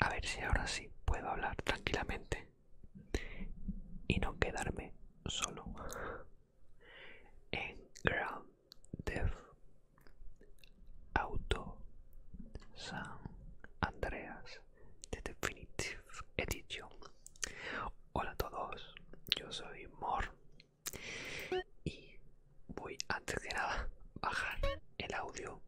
A ver si ahora sí puedo hablar tranquilamente y no quedarme solo. En Grand Theft Auto San Andreas de Definitive Edition. Hola a todos, yo soy Mor y voy antes que nada bajar el audio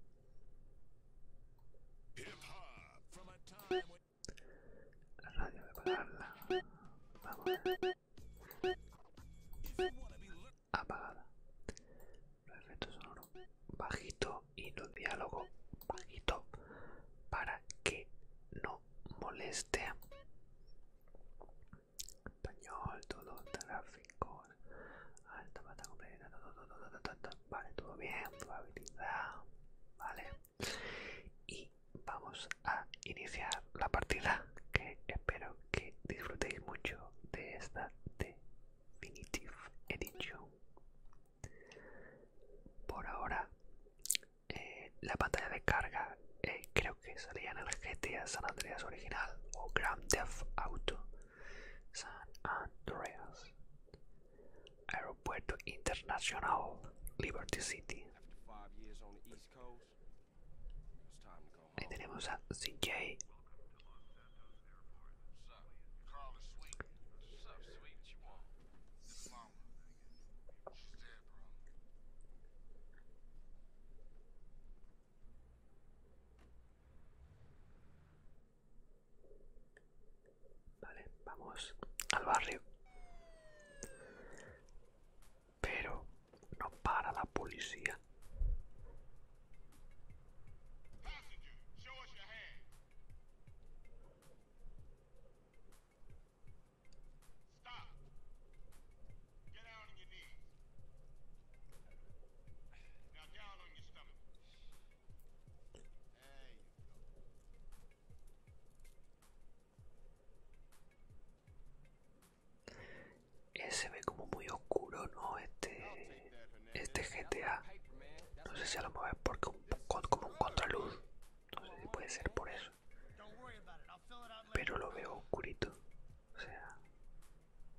la radio de a apagada los efectos sonoros bajito y los diálogos bajito para que no moleste español, todo tráfico, alta pata completa, todo, todo, vale, todo bien, probabilidad, vale. Y vamos a iniciar la partida, que espero que disfrutéis mucho de esta Definitive Edition. Por ahora, eh, la pantalla de carga eh, creo que es salía en el GTA San Andreas original o Grand Theft Auto San Andreas Aeropuerto Internacional Liberty City Ahí tenemos a CJ Vale, vamos al barrio. Pero no para la policía. Ese se ve como muy oscuro, ¿no? Este, este GTA. No sé si a lo mejor es porque con, como un contraluz. No sé si puede ser por eso. Pero lo veo oscurito. O sea,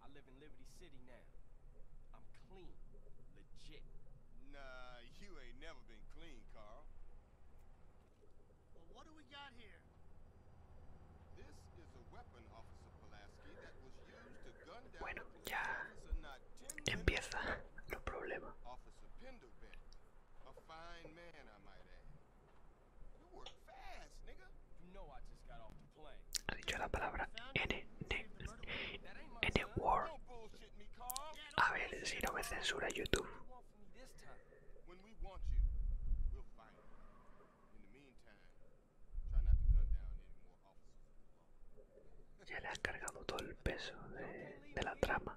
I live in Liberty City now. I'm clean. Legit. Nah, you ain't never been clean, Carl. Well, what do we got here? This is a weapon, Officer Pulaski, that was used to gun down bueno, ya empieza. No problema. Ha dicho la palabra N, N, N A ver si no me censura YouTube. Ya le ha cargado todo el peso de la trama.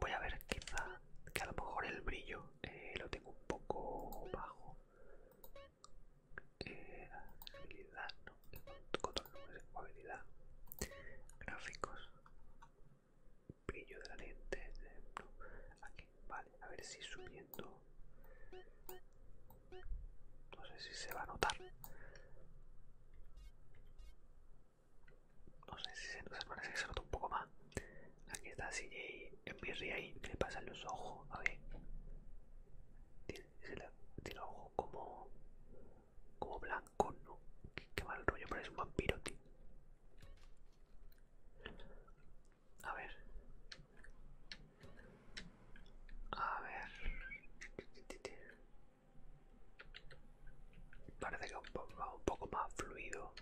voy a ver quizá que a lo mejor el brillo eh, lo tengo un poco bajo eh, no control de habilidad gráficos brillo de la lente eh, aquí vale a ver si subiendo no sé si se va a notar no sé si se nos parece que se nota un poco más. Aquí está CJ en mi ahí. le pasa los ojos? A ver. Tiene, el ojos como. como blanco ¿no? Qué, qué mal rollo, parece un vampiro, tío. A ver. A ver. Parece que va un poco más fluido.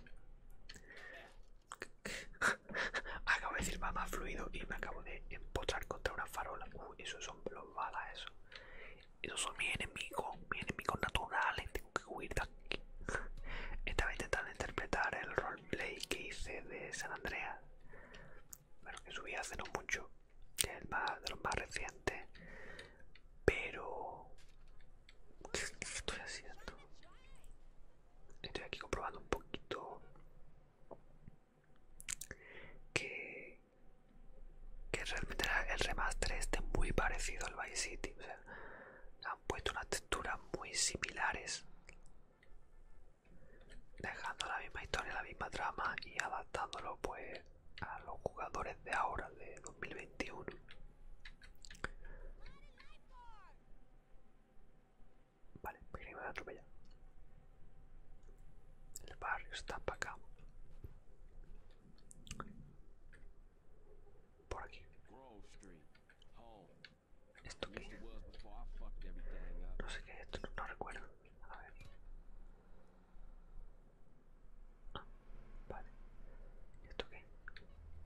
acabo de decir más fluido y me acabo de empotrar contra una farola. Uh, esos son los eso. Esos son mis enemigos, mis enemigos naturales. Tengo que huir de aquí. Estaba intentando interpretar el roleplay que hice de San Andrea, pero que subí hace no mucho, más, de los más recientes. Pero estoy haciendo? Estoy aquí comprobando un poquito que, realmente el remaster esté muy parecido al Vice City. han puesto unas texturas muy similares, dejando la misma historia, la misma trama y adaptándolo pues a los jugadores de ahora, de 2021. Vale, me voy a atropellar. El barrio está para acá. Por aquí. ¿Esto qué? No sé qué esto, no, recuerdo. A ver. Ah, vale. esto qué?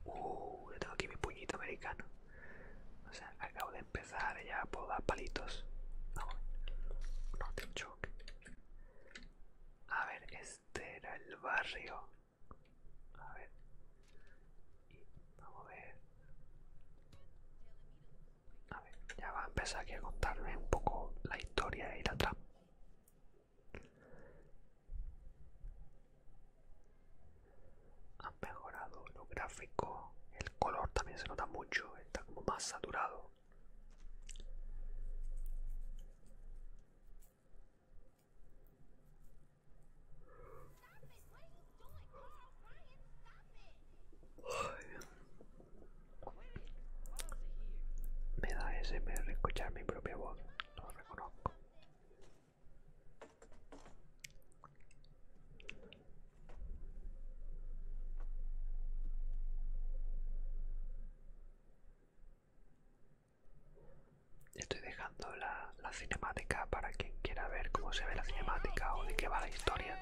Uh, yo tengo aquí mi puñito americano. O sea, acabo de empezar ya puedo dar palitos. No, no te choque. A ver, este era el barrio. A ver. Y vamos a ver. A ver, ya va a empezar aquí a contarme un poco la historia de la trama. Han mejorado lo gráfico, el color también se nota mucho, está como más saturado. Me da SMR escuchar mi propia voz, lo reconozco. Estoy dejando la, cinemática para quien quiera ver cómo se ve la cinemática o de qué va la historia.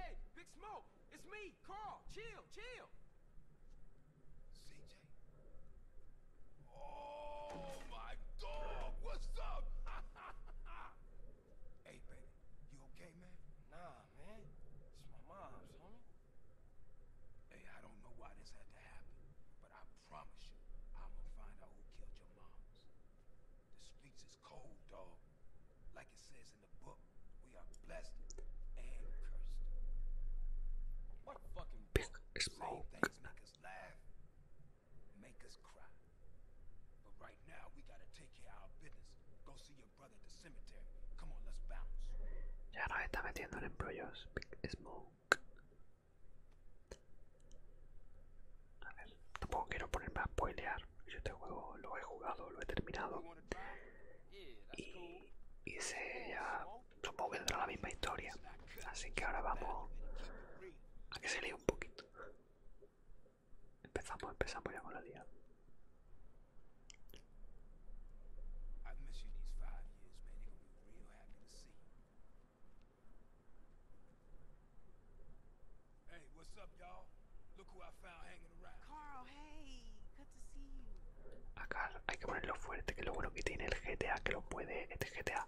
Oh my god, what's up? hey, baby, you okay, man? Nah, man. It's my mom's, homie. Hey, I don't know why this had to happen, but I promise you, I'm gonna find out who killed your moms. The streets is cold, dog. Like it says in the book, we are blessed and cursed. What fucking book? Same things make us laugh, make us cry. But right now, we gotta take care of our business. Go see your brother at the cemetery. Come on, let's bounce. Ya nos está metiendo en embrollos, Big Smoke. A ver, tampoco quiero ponerme a spoilear. Yo este juego lo he jugado, lo he terminado. Y hice ya supongo que tendrá la misma historia. Así que ahora vamos a que se lea un poquito. Empezamos, empezamos ya con la liada. Acá hay que ponerlo fuerte, que lo bueno que tiene el GTA, que lo puede, este GTA,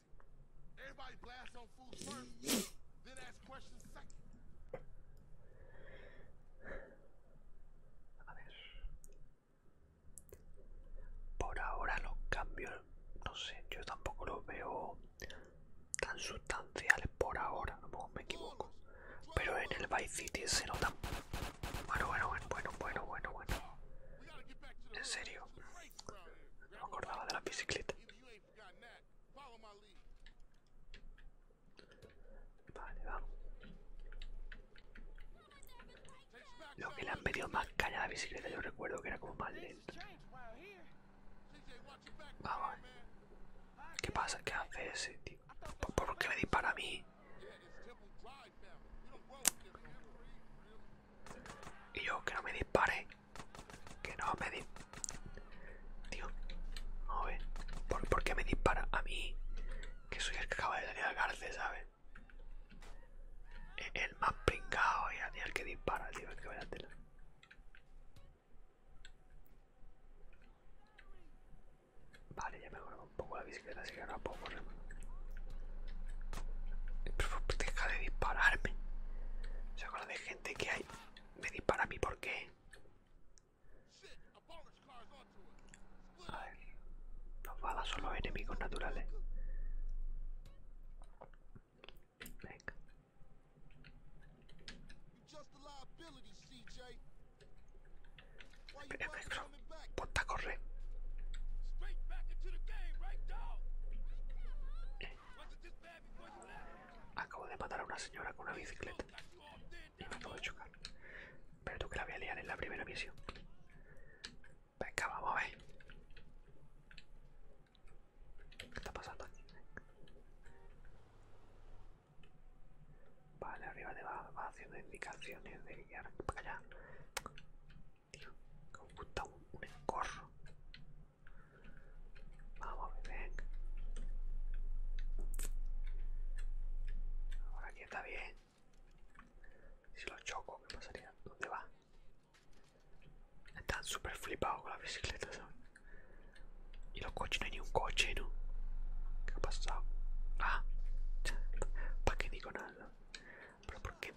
A ver. Por ahora los cambios, no sé, yo tampoco los veo tan sustanciales por ahora, a me equivoco. Pero en el Vice City se notan. Bueno, bueno, bueno, bueno, bueno, bueno, bueno. En serio. No me acordaba de la bicicleta. Vale, vamos. Lo que le han pedido más caña a la bicicleta, yo recuerdo que era como más lenta. Vamos. ¿Qué pasa? ¿Qué hace ese tío? ¿Por qué me dispara a mí? Y yo, que no me dispare. Que no me dis... Tío, a ¿Por, qué me dispara a mí? Que soy el que acaba de salir de la cárcel, ¿sabes? El, más pringado y el que dispara, tío. es que vaya a tela. Vale, ya me un poco la bicicleta, que ahora puedo Deja de dispararme. ¿Se la de gente que hay? Me dispara a mí, ¿por qué? A ver. Las balas son los enemigos naturales. Puta correr. Acabo de matar a una señora con una bicicleta y me acabo de chocar. Pero tú que la voy a liar en la primera misión. Venga, vamos a ver. ¿Qué está pasando aquí? Vale, arriba te va, va haciendo indicaciones de guiar para allá. Tío, que me gusta un, Vamos, bebé. Ahora aquí está bien. Si lo choco, ¿qué pasaría? ¿Dónde va? Están súper flipado con la bicicleta, Y los coches, no hay ni un coche, ¿no? ¿Qué ha pasado? Ah, ¿para qué digo nada? ¿Pero por qué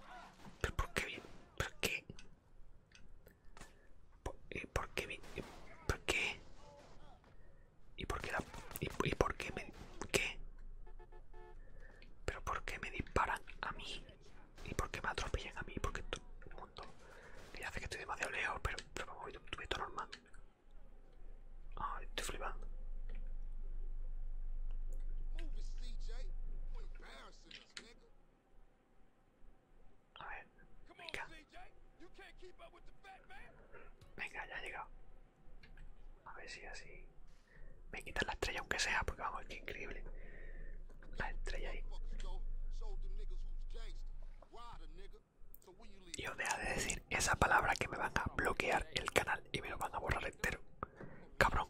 ¿Pero por qué? ¿Por qué? ¿Por, por qué? ¿Por qué? ¿Y por qué y, por qué me... qué? ¿Pero por qué me disparan a mí? ¿Y por qué me atropellan a mí? Porque todo el mundo... me hace que estoy demasiado lejos, pero, pero voy tú un todo normal. Ay, estoy flipando. A ver, venga. Venga, ya ha llegado. A ver si así. Me quitan la estrella aunque sea, porque vamos, que increíble. La estrella ahí. Y os deja de decir esa palabra que me van a bloquear el canal y me lo van a borrar entero. Cabrón.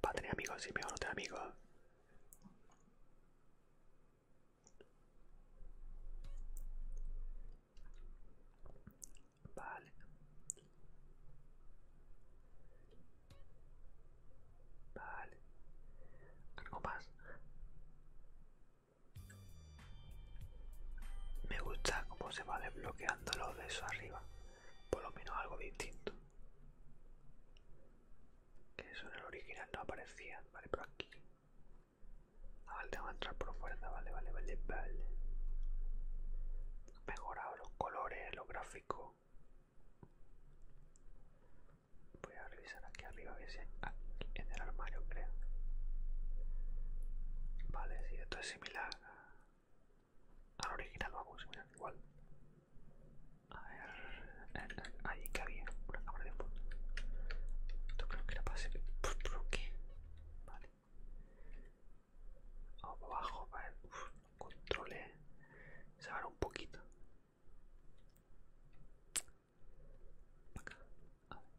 Para tener amigos, sí, mi no tengo amigos. Vale. Vale. Algo más. Me gusta cómo se va desbloqueando lo de eso arriba por lo menos algo distinto. Que eso en el original no aparecía, vale, pero aquí. Ah, vale, entrar por fuera, vale, vale, vale, Mejorado los colores, los gráficos. Voy a revisar aquí arriba, ah, en el armario creo. Vale, si esto es similar al original vamos, mira, igual. A ver, ahí que había una cámara de punto Esto creo que la para hacer. ¿Por qué? Vale. abajo, para ver. controlé, controle. Eh. Se un poquito. Acá. A ver.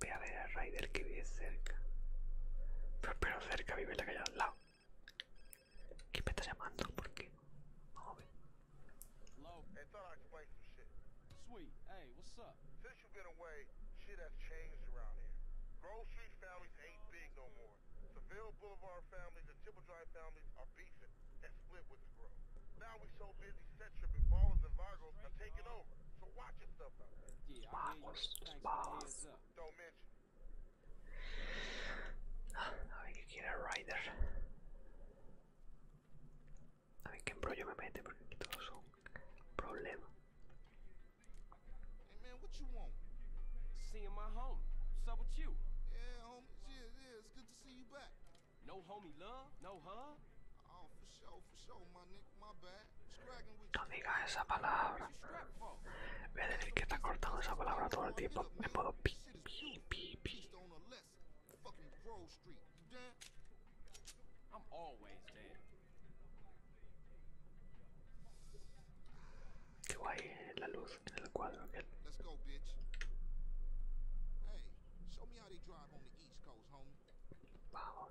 Ve a ver al Raider que vive cerca. Pero, pero Sweet, hey, what's up? Since you've been away, shit has changed around here. Grove Street families ain't big no more. Seville Boulevard families and Triple Drive families are beefing and split with the Grove. Now we so busy set tripping and Virgos are taking over. So watch yourself out there. Yeah, a ver qué quiere Ryder. A ver qué embrollo me mete porque aquí todos son problema. Hey man, what you want? Seeing my homie. What's up with you? Yeah, homie. Yeah, yeah, it's good to see you back. No homie love, no hug. Oh, for sure, for sure, my nigga, my bad. No digas esa palabra. Voy a decir que está cortando esa palabra todo el tiempo en modo pi, pi, pi, pi. Qué guay eh, la luz en el cuadro aquel. Vamos.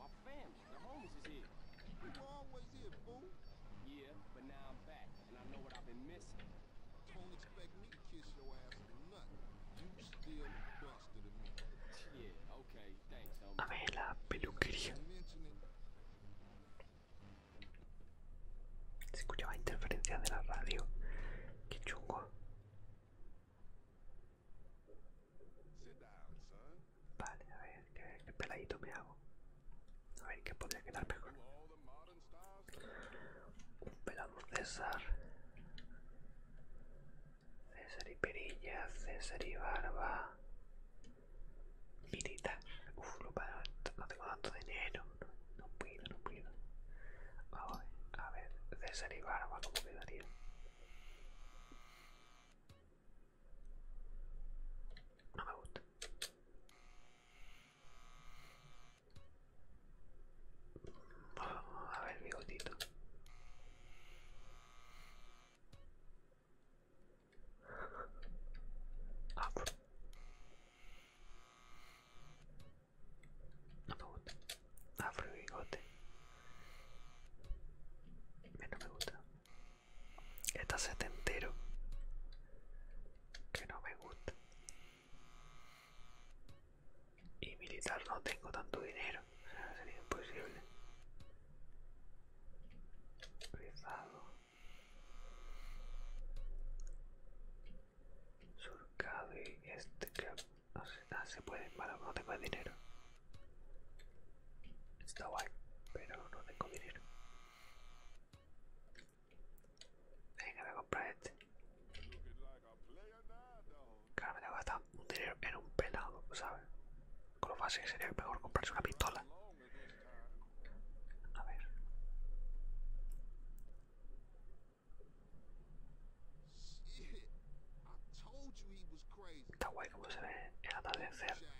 My family, the homies is here. You always here, fool. Yeah, but now I'm back, and I know what I've been missing. Don't expect me to kiss your ass or nothing. You still busted me. Yeah, okay, thanks, homie. A ver, la peluquería. Se escuchaba interferencia de la radio. Qué chungo. Vale, a ver, ¿qué, peladito me hago. A ver, ¿qué podría quedar mejor? Un pelado César. César y perilla, César y barba. Mirita. Uf, no tengo tanto dinero. No, no puedo, no puedo. A ver, a ver, César y barba, ¿cómo quedaría? No me gusta. Oh, a ver, bigotito. afro ah, No me gusta. Afro y bigote. No me gusta. Está setentero. Que no me gusta. Y militar no tengo tanto dinero. Sería imposible. Rizado. Surcado y este que... No se puede. que no tengo dinero. Está guay, pero no tengo dinero. Venga, voy a comprar este. Claro, me tengo que gastar un dinero en un pelado, ¿sabes? Con lo fácil sería mejor comprarse una pistola. A ver. Está guay como se ve el atardecer.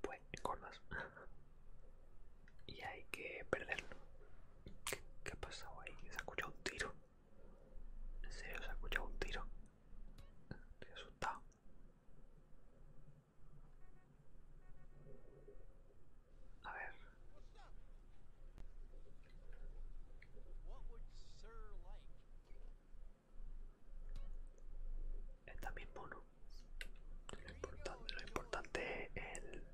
pues corras. y hay que perderlo. ¿Qué, ha pasado ahí? Se ha escuchado un tiro. En serio, se ha escuchado un tiro. Estoy asustado. A ver. Esta no Lo importante, lo es el...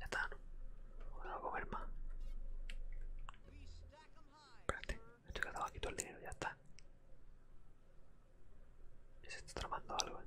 Ya está, ¿no? a comer más. Espérate, me estoy aquí todo el dinero, ya está. Y se está tramando algo, ¿eh?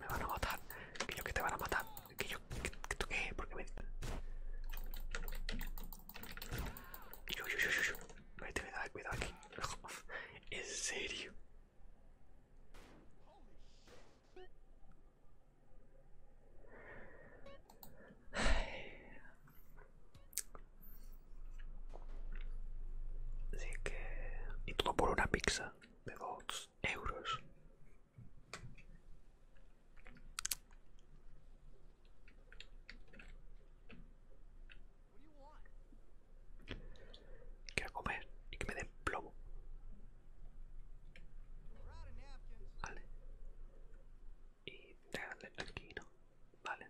Me van a matar, que yo que te van a matar, que yo que, eh, qué, me. yo, yo, yo, yo, yo. cuidado, aquí. en serio. Así que... Y todo por una pizza de dos euros. Quiero comer y que me den plomo. Vale. Y déjale aquí, ¿no? Vale.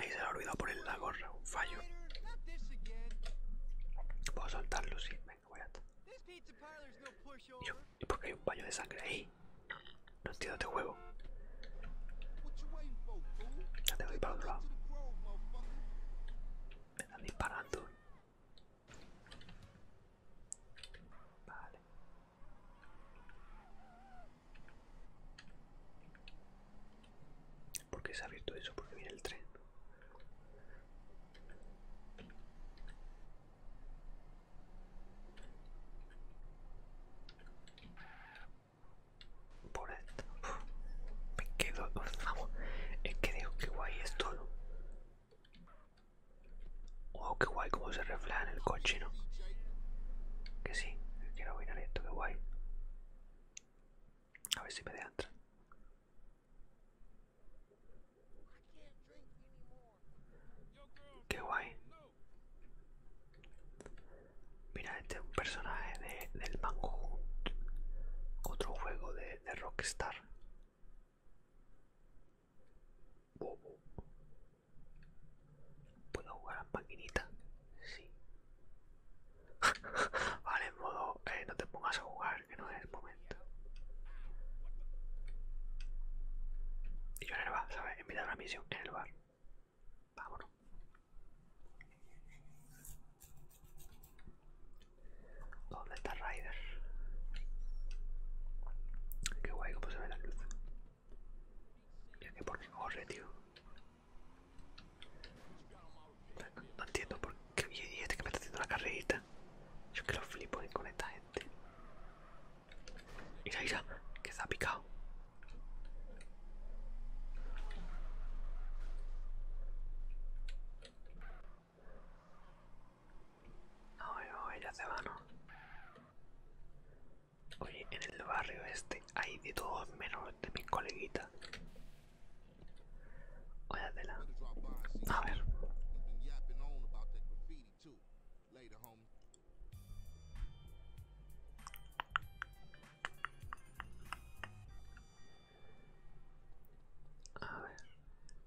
Ahí se le ha olvidado poner la gorra, un fallo. Puedo soltarlo, sí, venga, voy a ¿Y por qué hay un baño de sangre ahí? No entiendo este juego. Ya tengo que ir para otro lado. Me están disparando. Vale. ¿Por qué se ha abierto eso? Porque viene el tren. Por esto. me quedo. Es que digo que guay es todo. Wow, qué guay como se refleja en el coche, ¿no? Que sí, quiero mirar esto, qué guay. A ver si me de entrar. Qué guay. Mira, este es un personaje de, del Manhunt, otro juego de Rockstar. ¿Puedo jugar a maquinita? Sí. vale, en modo, eh, no te pongas a jugar, que no es el momento. Y yo en el bar, ¿sabes? Enviar una misión, en el bar. Vámonos. ¿Dónde está Rider? Qué guay cómo se ve la luz. Ya que por qué corre, tío. No, entiendo por qué. Y este que me está haciendo la carrerita. Yo que lo flipo con esta gente. Mira, mira, que se ha picado oye, oye, ya se van, Oye, en el barrio este hay de todos menos de mis coleguitas. Óyatela. A ver. A ver.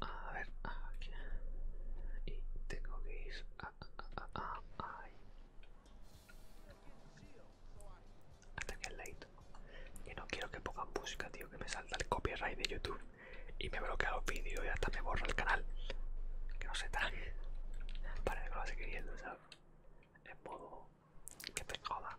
A ver, aquí. Y tengo que ir Hasta que el late. Que no quiero que pongan música, tío, que me salta el copyright de YouTube y me bloquea los vídeos y hasta me borra el canal. Que no se trague. Parece que lo va a seguir viendo, ¿sabes? En modo que te joda.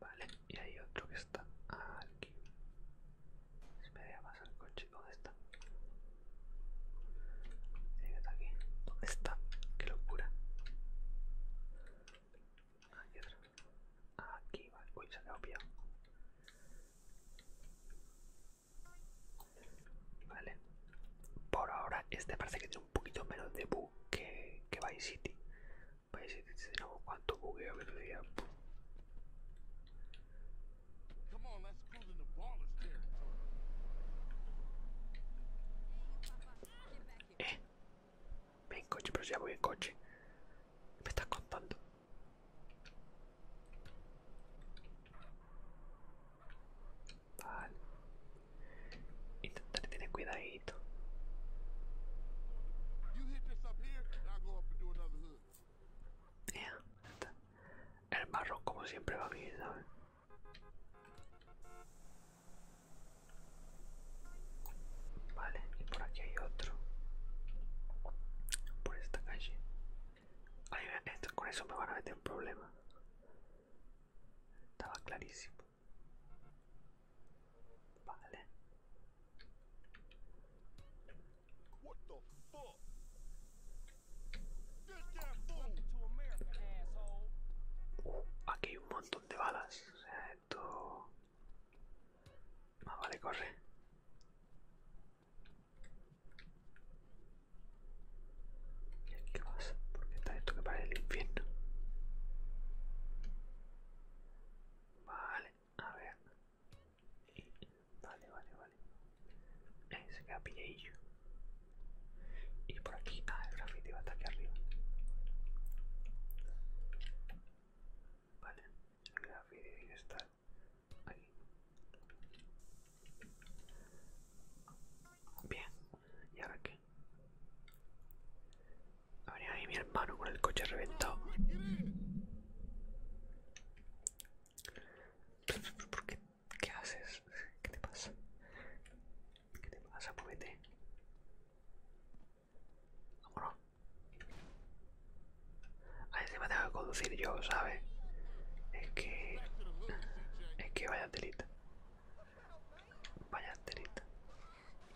Vale, y hay otro que está aquí. Espera, me a pasar el coche. ¿Dónde está? que aquí. ¿Dónde está? ¡Qué locura! Aquí otro. Aquí, vale. Uy, se ha pillado. Vale. Por ahora este parece que un poquito menos de bug que, Vice City. Vice City lo hago cuantos bugueos que tú digas. Eh, ven coche, pero ya voy en coche. ¿Me estás contando? Vale. Intentaré tener cuidadito. El marrón como siempre va bien, Vale, y por aquí hay otro. Por esta calle. Ahí con eso me van a meter un problema. Estaba clarísimo. Vale. aquí hay un montón de balas. esto... Ah, vale, corre. ¿Y aquí ¿Por Porque está esto que parece el infierno. Vale, a ver. Vale, vale, vale. se queda pilladillo. Y por aquí, ah, el graffiti va hasta aquí arriba. Vale, el graffiti debe estar aquí. Bien, ¿y ahora qué? a ver ahí mi hermano con el coche reventado. qué? haces? ¿Qué te pasa? ¿Qué te pasa? Muévete. Vámonos. A me tengo que conducir yo, ¿sabes? Es que... Es que vaya delito Vaya enterita.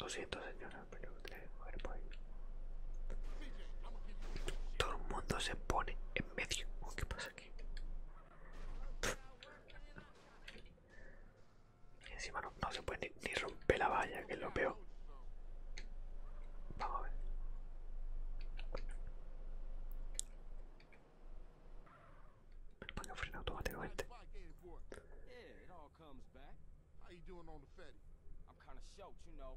Lo siento, señora, pero voy que por ahí. Todo el mundo se pone en medio. ¿Qué pasa aquí? Y encima no, se puede ni, ni romper la valla, que es lo peor. Vamos a ver. I'm kind of shocked, you know.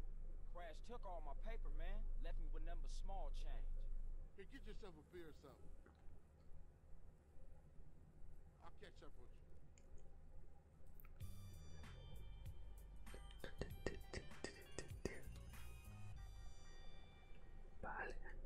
Crash took all my paper, man. Left me with number small change. Here, get yourself a beer or something. I'll catch up with you. Vale.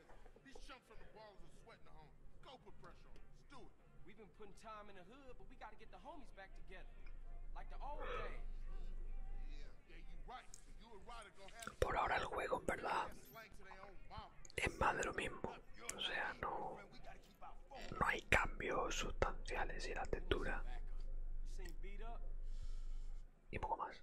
Em. Por ahora el juego, en verdad, es más de lo mismo. O sea, no, no hay cambios sustanciales en la textura. Y poco más.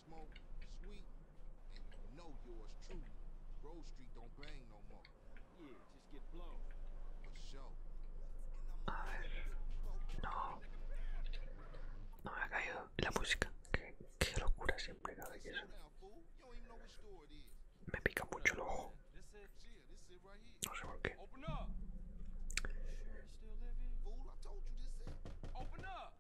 smoke, sweet, and know yours truly. no No. me ha caído la música. Qué, qué locura siempre cada que eso. Me pica mucho el ojo. No sé por qué.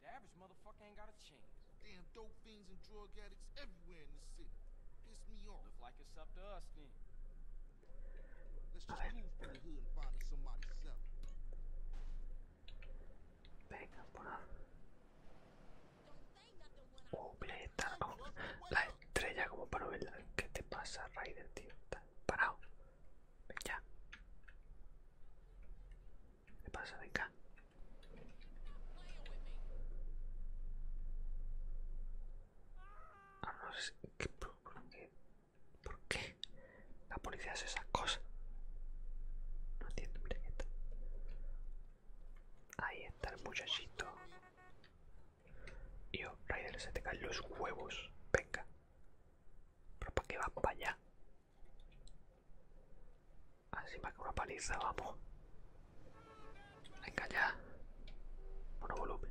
The average motherfucker ain't got a chance. Damn dope fiends and drug addicts everywhere in the city. Piss me off. Look like it's up to us then. Let's just move from the hood and find somebody selling. Venga, por ahí. Oh, la estrella como para verla. ¿Qué te pasa, Raider, tío? Está parado. Venga. ya. ¿Qué pasa? Venga. Ahora no sé. ¿Qué, por, qué? ¿Por qué? La policía hace esas cosas. No entiendo, mira que está. Ahí está el muchachito. yo, Raider, se te caen los huevos. Venga. Pero para qué vamos para allá. Así para que una paliza, vamos. Venga ya. bueno volumen.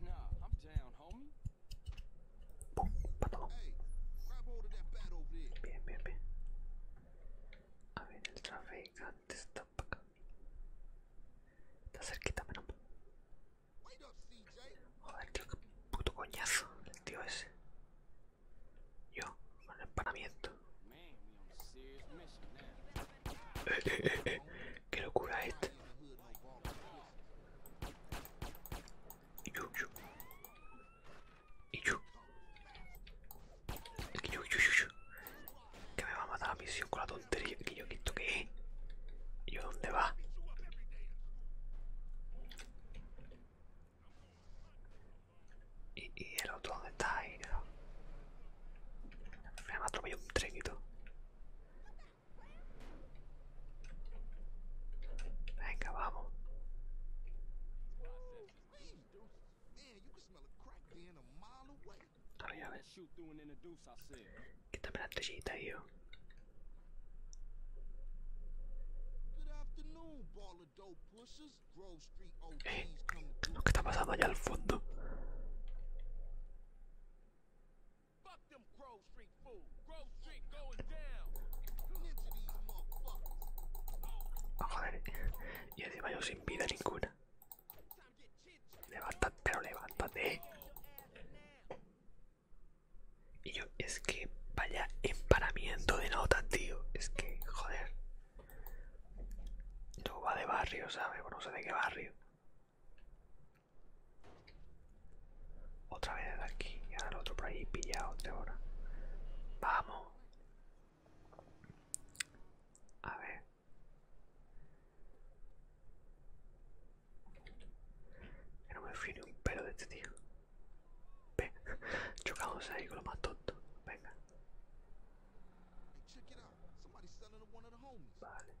No, I'm down, homie. Bien, bien, bien. A ver, el traficante está para acá. Está cerquita, pero. Joder, tío, qué puto coñazo el tío ese. Yo, con el empanamiento. Eh, Qué locura esta. Y yo, yo. Y yo. que yo, yo, yo, yo. Que me va a matar la misión con la tontería. Que yo, quito que es? ¿Y yo dónde va? ¿Y, el otro dónde está? Ahí, ha Me atropelló un tren y todo. Venga, vamos. Todavía ves. Quítame la estrellita, yo. Eh, lo está pasando allá al fondo. Fuck them Grove Street fool. Grove Street going down. Ah, joder. Y así yo sin vida ninguna. Levántate, pero levántate. Y yo, es que vaya emparamiento de notas, tío. Es que, joder. Todo va de barrio, ¿sabes? No sé de qué barrio. Otra vez desde aquí y ahora el otro por ahí pillado de ahora. Vamos. A ver. no me fío ni un pelo de este tío. Chocamos ahí con lo más tonto. Venga. Vale.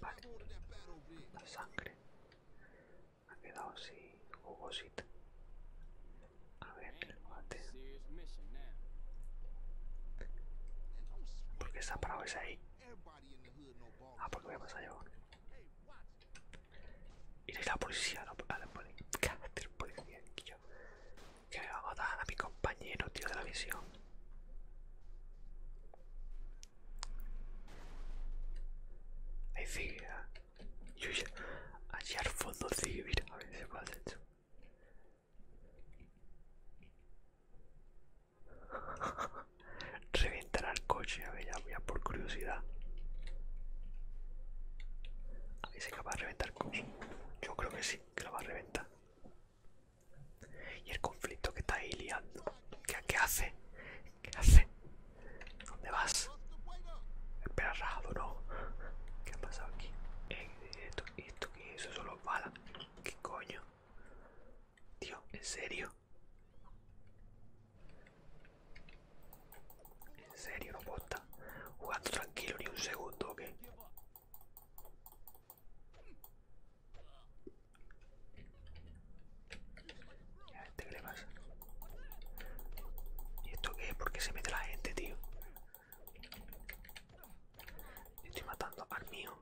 Vale, la sangre ha quedado así jugosita. A ver el ¿Por qué está parado ese ahí? Ah, porque voy a pasar yo. Y la policía, a la policía. policía, que yo. me va a dar a mi compañero, tío, de la misión. Ahí sigue. Yo ya, allí al fondo sigue, a ver si se puede hacer eso. Reventar el coche, a ver, ya voy a por curiosidad. A ver si se capaz de reventar el coche. Yo creo que sí, que lo va a reventar. Y el conflicto que está ahí liando. ¿Qué, hace? ¿Qué hace? ¿Dónde vas? Espera, rajado, no. ¿Qué ha pasado aquí? Eh, esto, ¿Esto qué es? Eso solo los balas. ¿Qué coño? Tío, ¿en serio? En serio, no puedo jugando tranquilo ni un segundo, ¿ok? ¿Este qué le pasa? ¿Y esto qué? ¿Por qué se mete la gente, tío? Estoy matando al mío.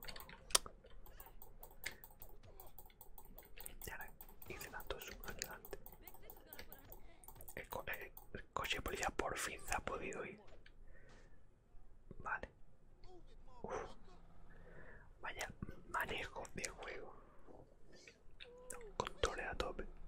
Y ahora hice tanto zoom adelante. delante. El, coche policía por fin se ha podido ir. Vale. Vaya manejo de juego. Controle a tope. Espera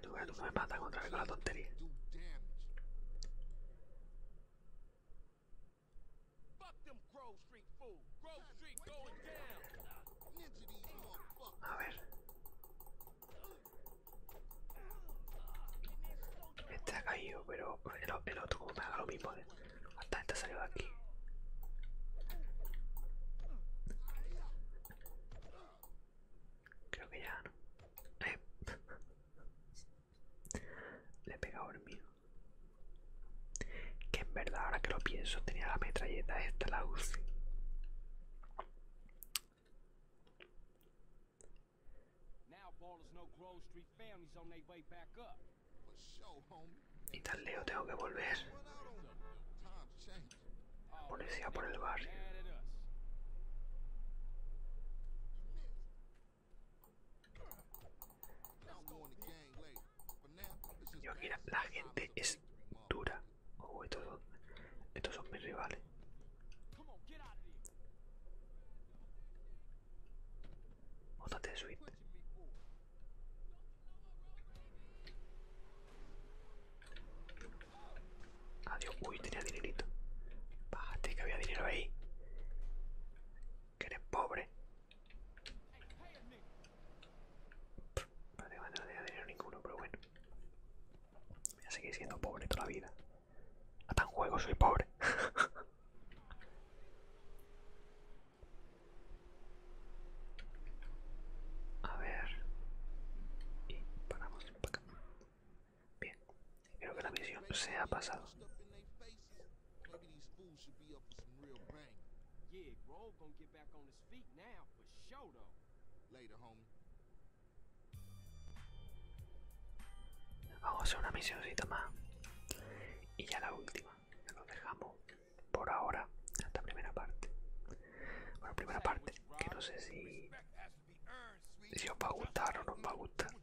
tú, tú me matas contra con la tontería. A ver. Este ha caído, pero el, otro como me haga lo mismo. Hasta eh. este salió de aquí. Creo que ya no. Eh. Le he pega mío. Que en verdad, ahora que lo pienso, tenía la metralleta esta, la UCI. Y tal Leo tengo que volver. Policía por el barrio. Yo aquí la gente es dura. o estos son, estos son mis rivales. Móntate de suite. Adiós. Uy, tenía dinerito. Bájate que había dinero ahí que eres pobre. Vale, no tenía nada dinero ninguno, pero bueno. Voy a seguir siendo pobre toda la vida. Hasta en juego soy pobre. a ver. Y paramos para acá. Bien. Creo que la misión se ha pasado. Maybe these fools should be up for some real bang. Yeah, Grove gonna get back on his feet now, for show though. Later, homie. Vamos a hacer una misioncita más. Y ya la última. Nos dejamos por ahora esta primera parte. Bueno, primera parte, que no sé si, si os va a gustar o no os va a gustar.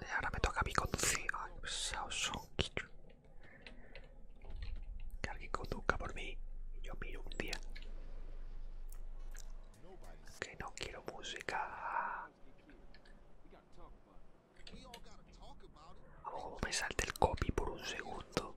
Eh, ahora me toca a mí conducir. Que alguien conduzca por mí y yo miro un día. Que no quiero música. me salte el copy por un segundo.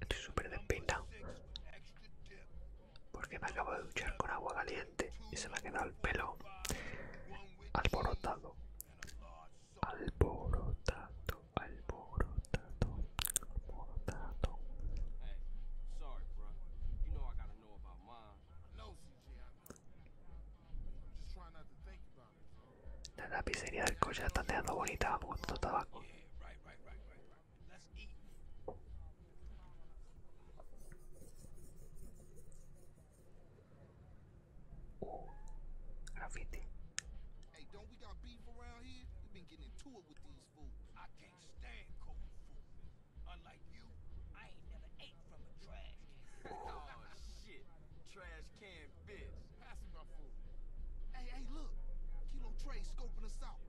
Estoy súper despintado. Porque me acabo de duchar con agua caliente y se me ha quedado el pelo alborotado. Alborotado, alborotado, alborotado. La pizzería del coche está dejando bonita, como tanto tabaco. Let's eat. Hey, don't we got beef around here? we been getting into it with these fools. I can't stand cold food. Unlike you, I ain't never ate from a trash can. oh shit, trash can bitch. Pass me my food. Hey, hey, look, Kilo Trey scoping us out.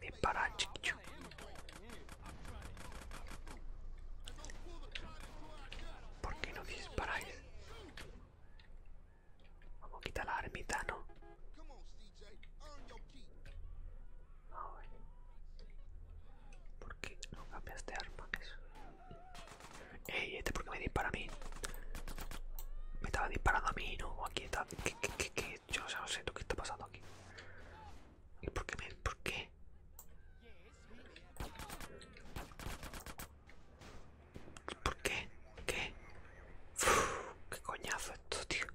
Dispara, chico. ¿Por qué no disparáis? Vamos a quitar la armita, ¿no? ¿Por qué no cambias de arma? Eso. ¡Ey! ¿Este por qué me dispara a mí? Me estaba disparando a mí, ¿no? Aquí está ¿qué, qué, qué, Yo no sé lo que está pasando aquí. ¿Y por qué me.? ¿Por qué? ¿Por qué? ¿Qué? ¡Qué coñazo esto, tío!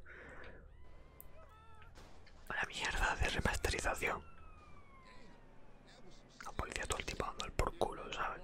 la mierda de remasterización. La policía todo el tiempo dando el por culo, ¿sabes?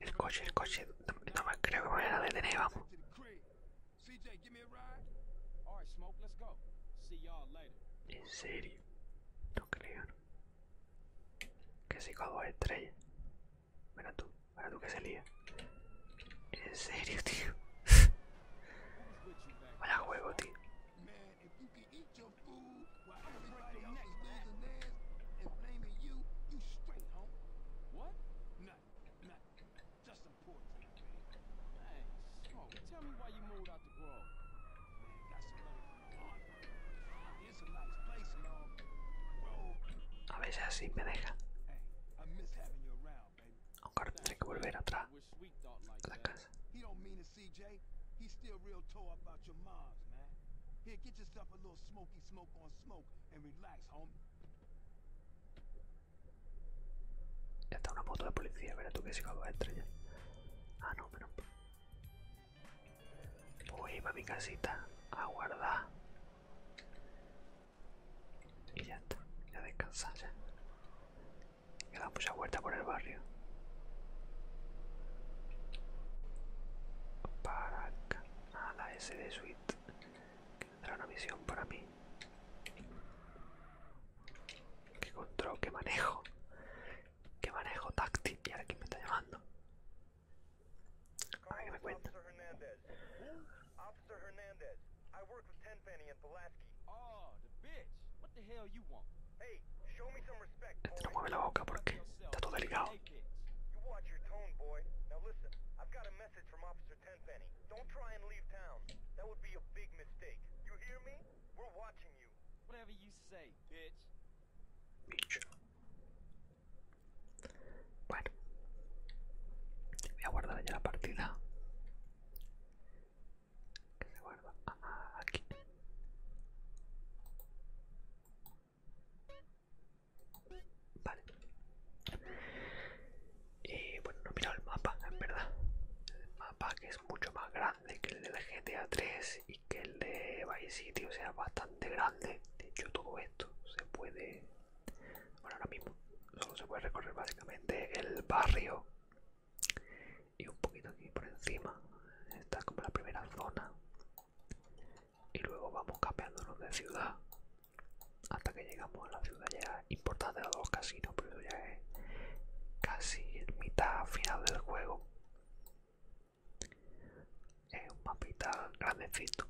El coche, el coche. No, me creo que me vayan a detener, vamos. En serio. No creo. Que se con dos estrellas. Mira tú, mira tú que se lía. En serio, tío. Vaya juego, tío. While everybody else is losing theirs and blaming you, you straight, home. What? Nothing. Nothing. Just some poor drink, man. Hey, Smoke, tell me why you moved out the Grove. Man, got some money from my aunt. Ah, it's a nice place and all. A veces así me deja. Aunque ahora tendré que volver atrás a la casa. He don't mean it, CJ. He's still real tore about your moms, man. Here, get yourself a little smoky smoke on Ya está una moto de policía, verás tú que sigo a de estrellar. Ah, no, pero. Voy para mi casita a guardar. Y ya está, ya descansar ya. He mucha vuelta por el barrio. Para acá a la SD Suite, que tendrá una misión para mí. Qué control, que manejo, qué manejo táctil. Y ahora quién me está llamando. A me cuenta. Este no mueve la boca porque está todo delgado. You watch your tone, boy. Now listen, I've got a message from Officer Tenpenny. Don't try and leave town. That would be a big mistake. You hear me? We're watching you. Whatever you say, bitch. Bitch. Bueno. Voy guardar ya la partida. Que se guarda ah, aquí. Y bueno, no he mirado el mapa, es verdad. El mapa que es mucho más grande que el de GTA 3 y que el de Vice City, o sea, bastante grande. De hecho, todo esto se puede... ahora mismo solo se puede recorrer básicamente el barrio y un poquito aquí por encima. está como la primera zona y luego vamos cambiándonos de ciudad hasta que llegamos a la ciudad ya importante de los casinos, pero ya es casi mitad final del juego. Es un mapita grandecito.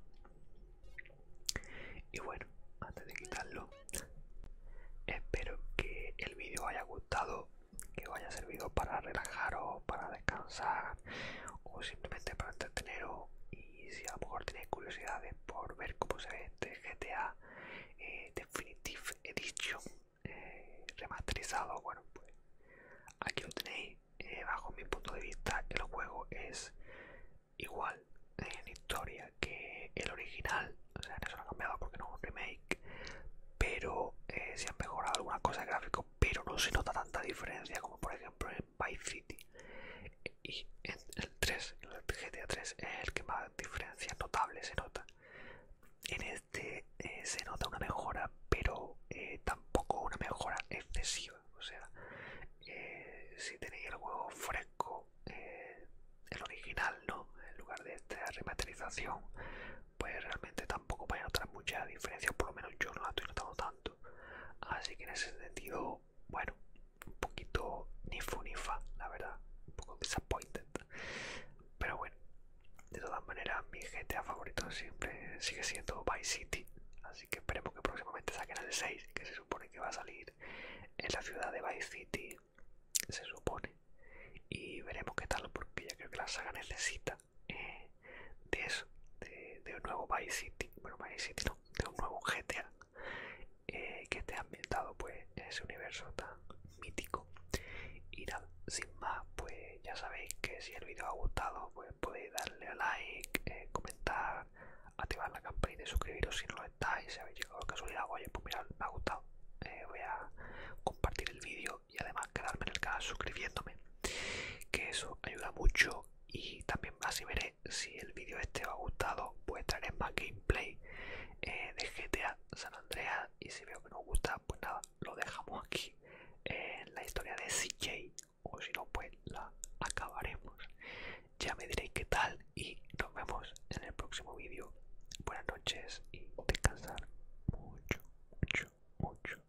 Y bueno, antes de quitarlo, espero que el vídeo haya gustado, que os haya servido para relajaros, para descansar, o simplemente para entreteneros y si a lo mejor tenéis curiosidades por ver cómo se ve este GTA eh, Definitive Edition eh, remasterizado, bueno pues aquí lo tenéis, eh, bajo mi punto de vista el juego es igual en historia que el original, o sea, eso no ha cambiado porque no es un remake, pero se han mejorado algunas cosas gráfico pero no se nota tanta diferencia como por ejemplo en by City. Y en el 3, el GTA 3 es el que más diferencia notable se nota. En este eh, se nota una mejora, pero eh, tampoco una mejora excesiva. O sea, eh, si tenéis el juego fresco, el original, ¿no? En lugar de esta remasterización, pues realmente tampoco vais a notar mucha diferencia. Por lo menos yo no la estoy notando Así que en ese sentido, bueno, un poquito ni fu la verdad, un poco disappointed. Pero bueno, de todas maneras, mi GTA favorito siempre sigue siendo Vice City. Así que esperemos que próximamente saquen el 6, que se supone que va a salir en la ciudad de Vice City, se supone. Y veremos qué tal, porque ya creo que la saga necesita de eso, de, un nuevo Vice City, Vice City no, de un nuevo GTA eh, que esté ambientado pues en ese universo tan mítico. Y nada, sin más, pues ya sabéis que si el vídeo ha gustado, pues podéis darle a like, eh, comentar, activar la campanita y suscribiros si no lo estáis, si habéis llegado a casualidad, oye, pues mirad, me ha gustado. Eh, voy a compartir el vídeo y además quedarme en el canal suscribiéndome que eso ayuda mucho y también así veré si el vídeo este os ha gustado pues traeré más gameplay eh, de GTA San Andreas y si veo que no os gusta pues nada lo dejamos aquí en la historia de CJ o si no pues la acabaremos ya me diréis qué tal y nos vemos en el próximo vídeo buenas noches y descansar mucho mucho mucho